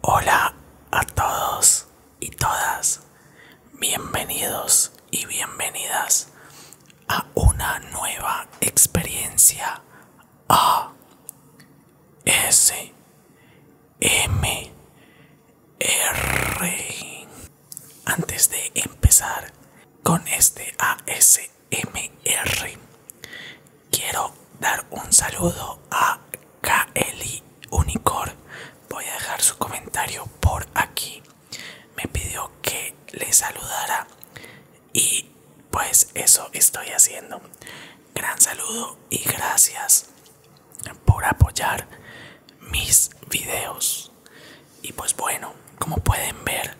Hola a todos y todas, bienvenidos y bienvenidas a una nueva experiencia ASMR Antes de empezar con este ASMR, quiero dar un saludo a Kaeli Unicor. Voy a dejar su comentario por aquí. Me pidió que le saludara y pues eso estoy haciendo. Gran saludo y gracias por apoyar mis videos. Y pues bueno, como pueden ver,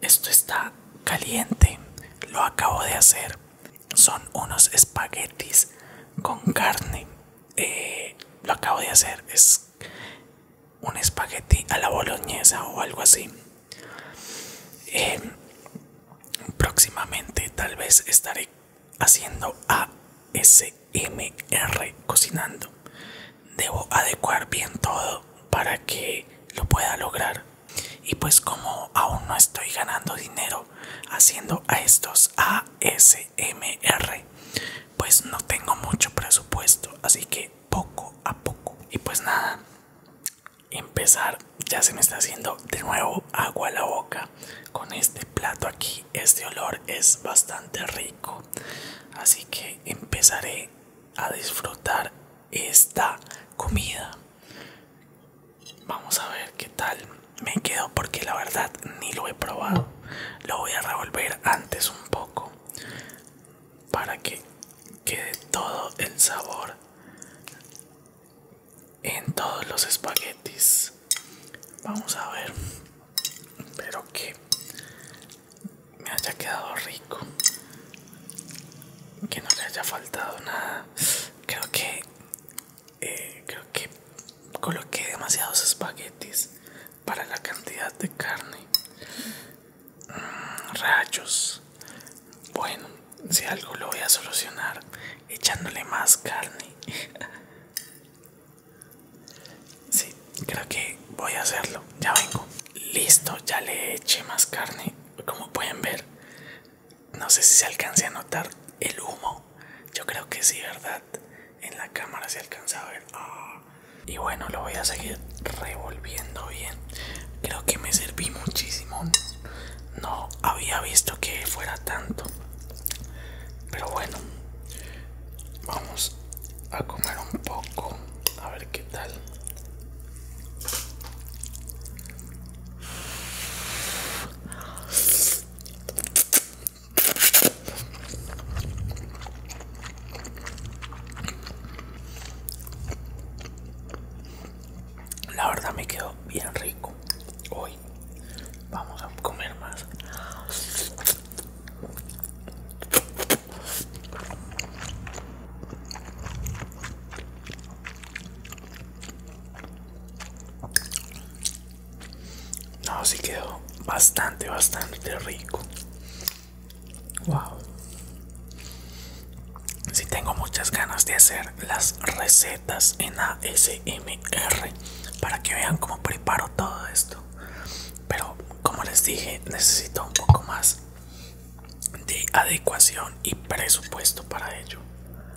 esto está caliente. Lo acabo de hacer son unos espaguetis con carne. Eh, lo acabo de hacer, es un espagueti a la boloñesa o algo así. Eh, próximamente tal vez estaré haciendo ASMR cocinando. Debo adecuar bien todo para que lo pueda lograr. Y pues como aún no estoy ganando dinero haciendo a estos ASMR. Pues no tengo mucho presupuesto, así que poco a poco. Y pues nada, empezar. Ya se me está haciendo de nuevo agua a la boca con este plato aquí. Este olor es bastante rico. Así que empezaré a disfrutar esta comida Vamos a ver qué tal me quedo porque la verdad ni lo he probado. Lo voy a revolver antes un poco para que quede todo el sabor en todos los espaguetis. Vamos a ver. Espero que me haya quedado rico. Que no le haya faltado nada. Creo que eh, creo que coloqué demasiados espaguetis para la cantidad de carne mm, rayos bueno si algo lo voy a solucionar echándole más carne sí creo que voy a hacerlo ya vengo listo ya le eché más carne como pueden ver no sé si se alcance a notar el humo. Yo creo que sí, ¿verdad? En la cámara se alcanza a ver. Ah. Y bueno, lo voy a seguir revolviendo bien. Creo que me serví muchísimo. No había visto que fuera tanto. Pero bueno, vamos a comer un poco. A ver qué tal. La verdad me quedó bien rico. Hoy vamos a comer más. No, si quedó bastante, bastante rico. Wow. Si tengo muchas ganas de hacer las recetas en ASMR para que vean cómo preparo todo esto. Pero como les dije, necesito un poco más de adecuación y presupuesto para ello.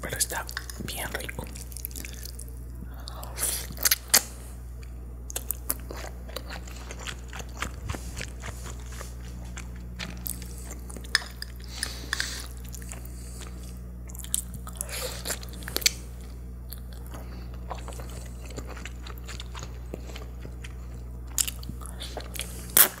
pero está bien rico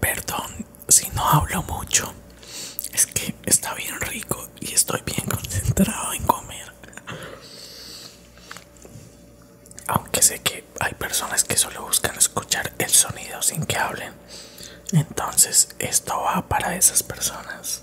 Perdón si no hablo mucho, es que está bien rico y estoy bien concentrado en comer. Aunque sé que hay personas que solo buscan escuchar el sonido sin que hablen. Entonces esto va para esas personas.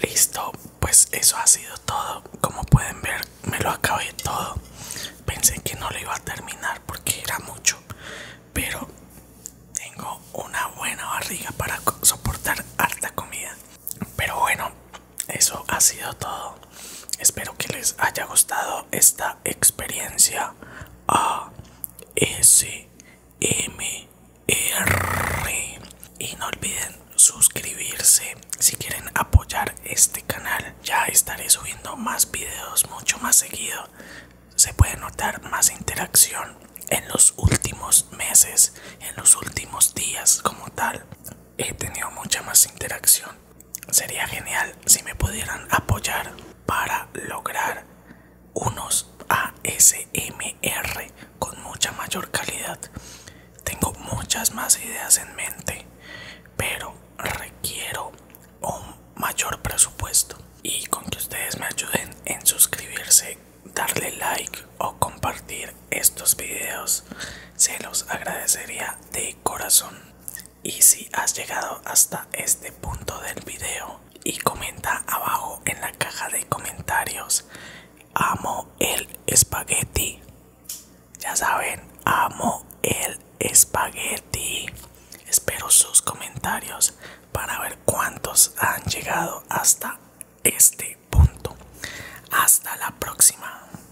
Listo, pues eso ha sido todo. Como pueden ver, me lo acabé todo. Pensé que no lo iba a terminar porque era mucho, pero tengo una buena barriga para soportar harta comida. Pero bueno, eso ha sido todo. Espero que les haya gustado esta experiencia ASMR. Y no olviden suscribirse si quieren apoyar este canal. Ya estaré subiendo más videos mucho más seguido. Se puede notar más interacción en los últimos meses, en los últimos días como tal. He tenido mucha más interacción Sería genial si me pudieran apoyar para lograr unos ASMR con mucha mayor calidad. Tengo muchas más ideas en mente, pero requiero un mayor presupuesto. Y con que ustedes me ayuden en suscribirse, darle like o compartir estos videos, se los agradecería de corazón. Y si has llegado hasta este punto del video y comenta abajo en la caja de comentarios, amo el espagueti. Ya saben, amo el espagueti. Espero sus comentarios para ver cuántos han llegado hasta este punto. Hasta la próxima.